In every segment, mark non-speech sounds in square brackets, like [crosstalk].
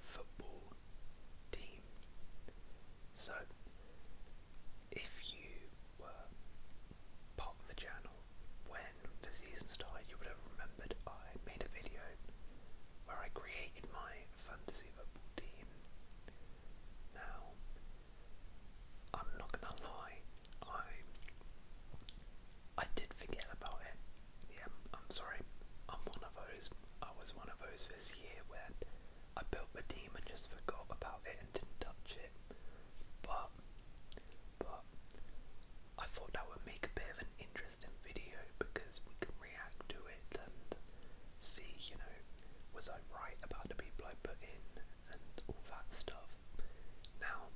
football team. So, if you were part of the channel when the season started, you would have remembered I made a video where I created my fantasy football team. Now, I'm not gonna lie, I I did forget about it. Yeah, I'm sorry. I'm one of those. I was one of those this year where I built the team and just forgot about it and didn't touch it. But, but I thought that would make a bit of an interesting video because we can react to it and see, you know, was I right about the people I put in and all that stuff. Now,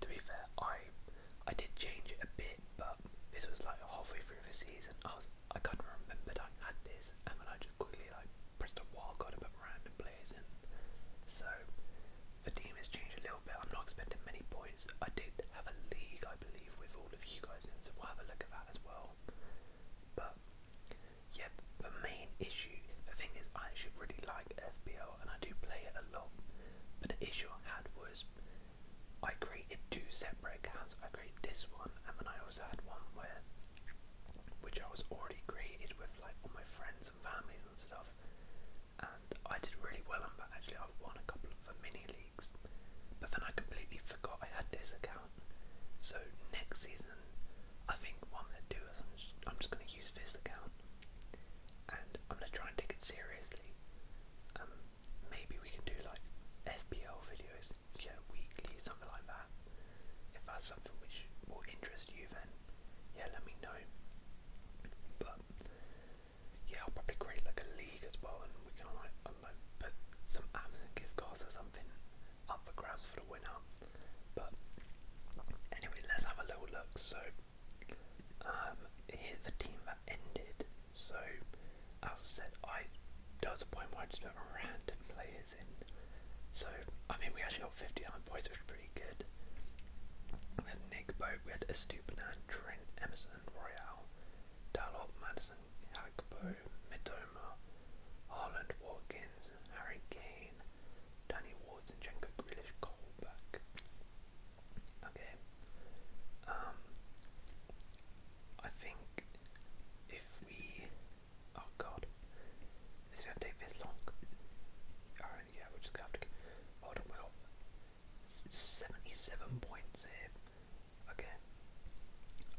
to be fair, I I did change it a bit, but this was like halfway through the season. I was I kind of remembered I had this, and then I just quickly like pressed a wild card and put random players in. So the team has changed a little bit. I'm not expecting many points. I did have a league, I believe, with all of you guys and so we'll have a look at that as well. But yeah, the main issue, the thing is, I actually really like FBL and I do play it a lot. But the issue I had was I created two separate accounts. I created this one, and then I also had one where, which I was already created with like all my friends and families and stuff. And I did really well on that. Actually, I won a couple of mini leagues. But then I completely forgot I had this account. So next season, I think what I'm gonna do is I'm just gonna use this account, and I'm gonna try and take it seriously. Um, maybe we can do like FPL videos, yeah, weekly, something like that. If that's something which will interest you, then yeah, let me know. But yeah, I'll probably create like a league as well, and we can like, um, like put some Amazon gift cards or something up for grabs for the winner. But anyway, let's have a little look. So um, here's the team that ended. So, as I said, I there was a point where I just put random players in. So, I mean, we actually got 59 boys, which is pretty good. We had Nick Boat, we had Estupinan, Trent, Emerson, Royale, Dalot, Madison, Hagbo, Medoma, Harland, Watkins, Harry Kane, Danny Wards, and Jenko Grealish, Coleback. Okay. Um, I think if we, oh god, this is gonna take this long. yeah, we just gonna have to. Hold on, we got seventy-seven points here. Okay.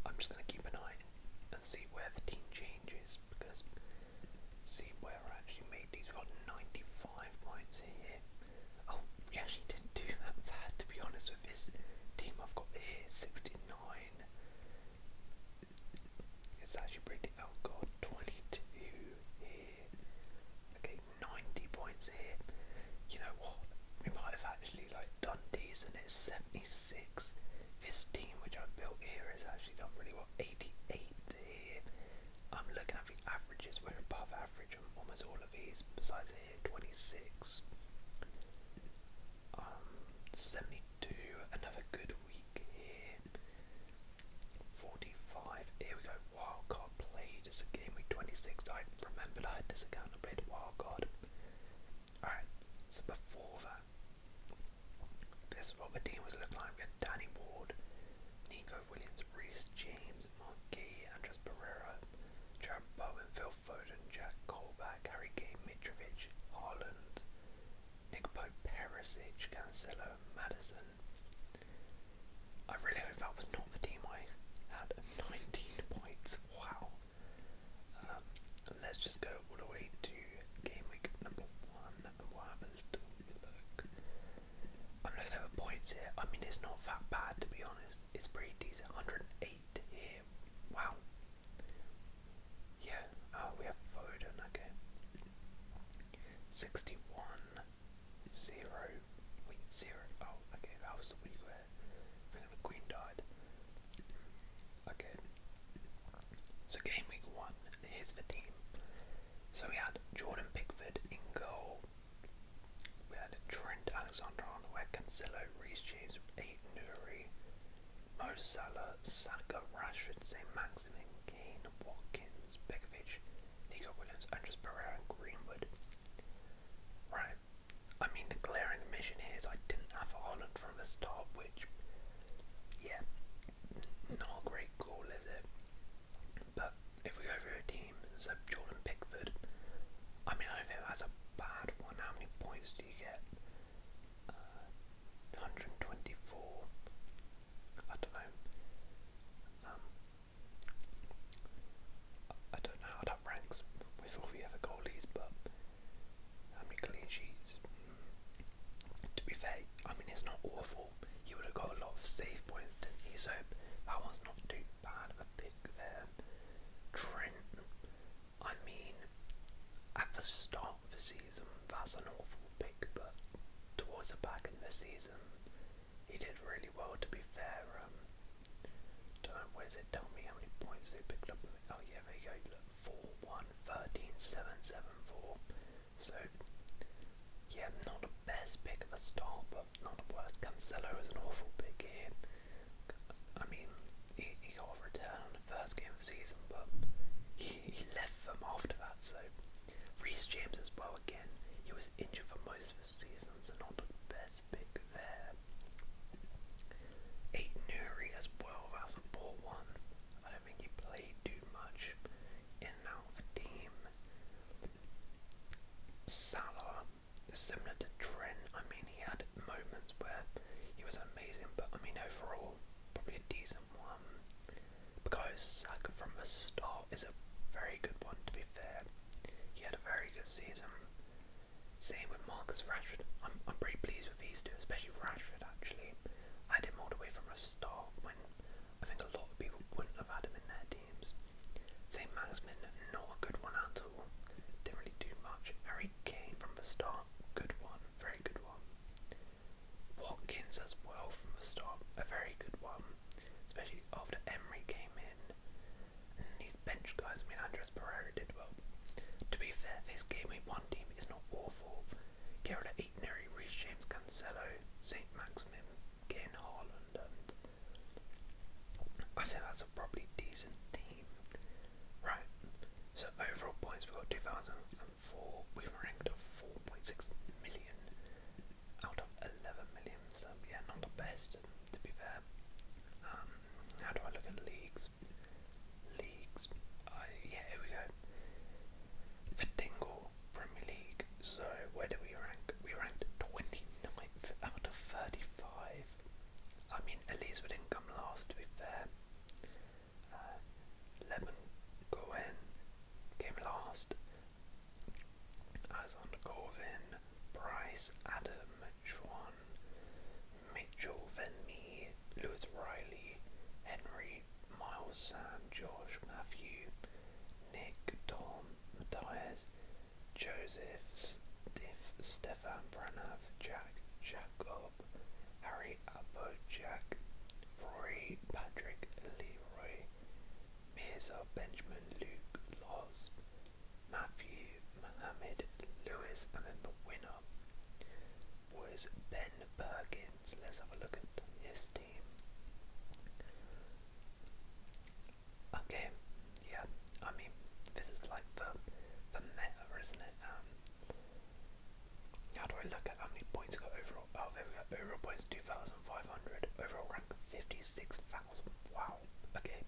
I'm just gonna keep an eye and see where the team changes because see where I actually made these. we got ninety-five points here. Oh, we actually didn't do that bad to be honest with this team I've got here, 69. It's actually pretty, oh god, 22 here. Okay, 90 points here. You know what? We might have actually like done and It's 76. This team which I have built here, is actually done really well. 88 here. I'm looking at the averages. We're above average on almost all of these. Besides here, 26, um, 72. Another good week here. 45. Here we go. Wildcard played. It's a game week 26. I remember I had this account. and played Wildcard. Alright, so before that, this is what the team was looking like. We had Danny Ward, Nico Williams, Reese James, Monkey, Andres Pereira, Jared Bowen, Phil Foden, Jack Colback, Harry Kane, Mitrovic, Haaland, Nick Pope, Perisic, Cancelo, Madison. I really hope that was not the team I had. [laughs] 19 points, wow. Um, let's just go all the way to game week number one and what happens to look. I'm looking at the points here. I mean, it's not that bad to be honest. It's pretty decent. 108 here. Wow. Yeah. Oh, we have Foden. Okay. 61 0. Wait, 0. Oh, okay. That was the week where I the Queen died. Okay. So, game week one. Here's the team. So we had Jordan Pickford in goal. We had Trent Alexander-Arnold, we had Cancelo, Reece James, Aiden Nuri, Mo Salah, Saka, Rashford, St. Maximin, Kane, Watkins, Bekovic, Nico Williams, Andres Pereira, and Greenwood. Right. I mean, the glaring omission is I didn't have Holland from the start, which, yeah, not a great goal, is it? But if we go through a team, so Jordan Pickford, I mean, I don't think that's a bad one. How many points do you get? Uh, 124. I don't know. Um, I don't know how that ranks with all the other goalies, but how many clean sheets? Mm. To be fair, I mean, it's not awful goal, he would have got a lot of save points, didn't he? So that one's not too bad of a pick there. Trent, I mean, at the start of the season, that's an awful pick, but towards the back end of the season, he did really well, to be fair. Um, don't know, where it tell me how many points they picked up? Oh, yeah, there you go. 4 1, so, yeah, not the best pick of a star, but not the worst. Cancelo is an awful pick here. I mean, he, he got a return on the first game of the season, but he, he left them after that. So, Reece James as well again. He was injured for most of the season, so not the best pick there. Eight as well. That's a poor one. I don't think he played too much in al Salah is similar to Trent. I mean, he had moments where he was amazing, but I mean, overall, probably a decent one. Because Saka from the start is a very good one, to be fair. He had a very good season. Same with Marcus Rashford. I'm, I'm pretty pleased with these two, especially Rashford, actually. I did him all the from the start when I think a lot of people wouldn't have had him in their teams. St. Maximin, not a good one at all. Didn't really do much. Harry Kane from the start, good one, very good one. Watkins as well from the start, a very good one, especially after Emery came in. these bench guys, I mean, Andres Pereira did well. To be fair, this game week one team is not awful. Gerrard Eaton, Reece James Cancelo, St. Maximin, getting Haaland, and I think that's a probably decent team. Right, so overall points we've got 2004, we've ranked at 4.6 million out of 11 million, so yeah, not the best to be fair. Um, how do I look at leagues? Leagues, I, yeah, here we go. For Dingle, Premier League. So where do we rank? We ranked 29th out of 35. I mean, at least didn't come last. To be fair, uh, Leben came last. As on Corvin, Bryce, Adam, Schwan, Mitchell, Venmi, Lewis Riley, Henry, Harry, Miles, Sam, Josh, Matthew, Nick, Tom, Matthias, Joseph, Stiff, Stefan, Pranav, Jack, Jacob, Harry, Abbo, Jack, Rory, Patrick, Leroy, Mirza, Benjamin, Luke, Loz, Matthew, Mohammed, Lewis, and then the winner was Ben Perkins. Let's have a look at his Okay, yeah, I mean, this is like the, the meta, isn't it? Um, how do I look at how many points got overall? Oh, there we go. Overall points 2,500. Overall rank 56,000. Wow. Okay,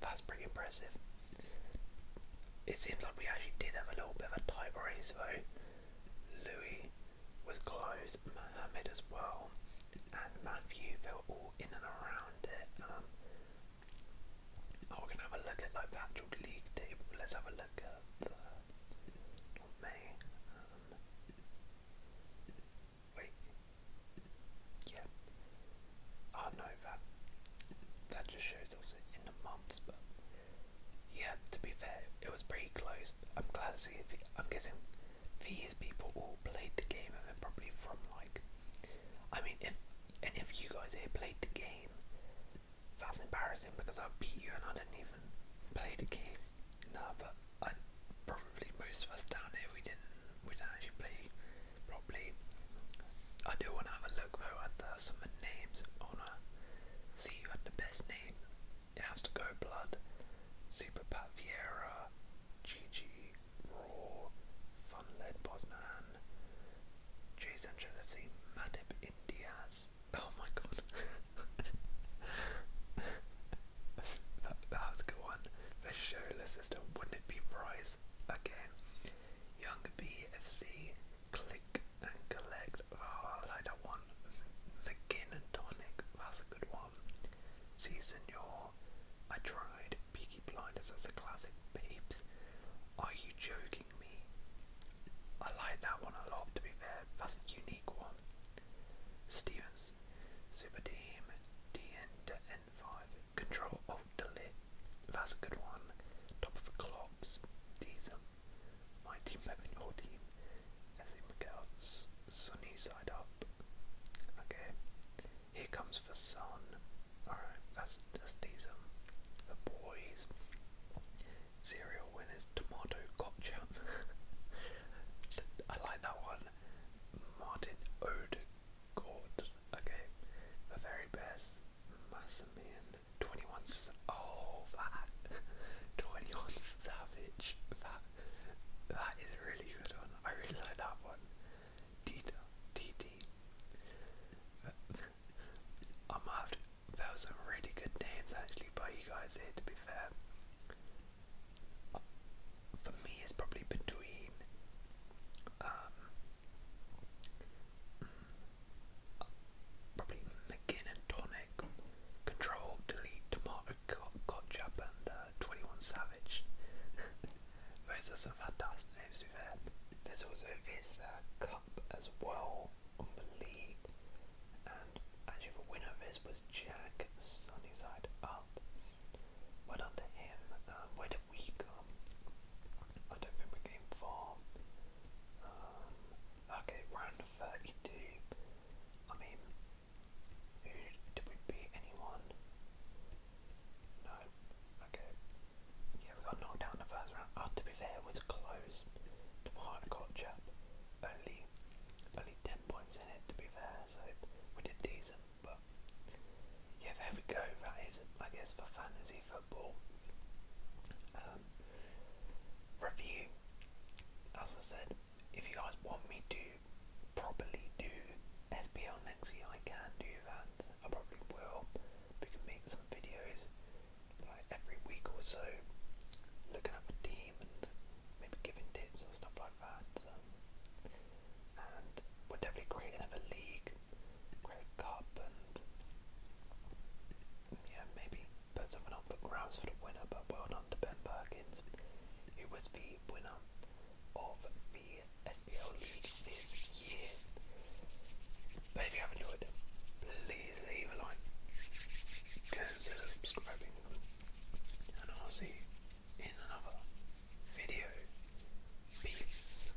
that's pretty impressive. It seems like we actually did have a little bit of a tight race though. Louis was close, Muhammad as well, and Matthew, felt all in and around it. Um, oh, going to have a look at like the league table. Let's have a look at the, um, wait, yeah, oh no, that, that just shows us in the months, but yeah, to be fair, it was pretty close. I'm glad to see. The, I'm guessing these people all played the game and they're probably from like. I mean, if and if you guys here played the game, that's embarrassing because I beat you and I didn't even play the game. No, but I probably most of us down here we didn't we didn't actually play properly. I do want to have a look though at the, some of the names. I wanna see who had the best name. It has to go blood. Super Pat Vieira, Gigi, Raw, Fun Led Bosman, Jay Sanchez FC, Madip. Indias. Oh my god. [laughs] that, that was a good one. The showless system, wouldn't it be prize? Again. Young BFC, click and collect Oh, like that one. The Gin and Tonic, that's a good one. See, Senor, I tried Peaky Blinders as a classic, babes. Are you joking me? I like that one a lot, to be fair. That's a unique one. Stevens, Super Team, 5 Control Alt Delete, that's a good one. Top of the Clops, decent. My team moving your team as in Miguel's sunny side up. Okay. Here comes the sun. Alright, that's that's decent. The boys. Serial winners, tomato ketchup. [laughs] I like that one. Martin Odegaard. Okay. The very best. Massimian. 21 oh that 21 Savage that that is a really good one. I really like that one. Tita TT I'm have there were some really good names actually by you guys here to be fair. For me it's probably between um, mm, Probably McGinn and Donne Control, Delete, Tomato Kotchup, and 21 Savage. [laughs] Those are some fantastic names to be fair. There's also this uh, cup as well on the league, and actually the winner of this was Jack Sunnyside Up. Well done him. Um, where did we come? I don't think we came far. Um, Okay, round 32. I mean, who, did we beat anyone? No. Okay. Yeah, we got knocked out in the first round. Oh, to be fair, it was close. The hard got chap. Only, only 10 points in it, to be fair, so we did decent, but yeah, there we go. That is, I guess, for fantasy football. Um, review. As I said, if you guys want me to properly do FBL next year, I can do that. I probably will. We can make some videos like every week or so, looking at a team and maybe giving tips and stuff like that. Um, and we'll definitely create another league, cup, and yeah, maybe put someone on for grounds for the winner, but well done to Ben Perkins, who was the winner of the FPL League this year. But if you have enjoyed, please leave a like, consider subscribing, and I'll see you in another video. Peace.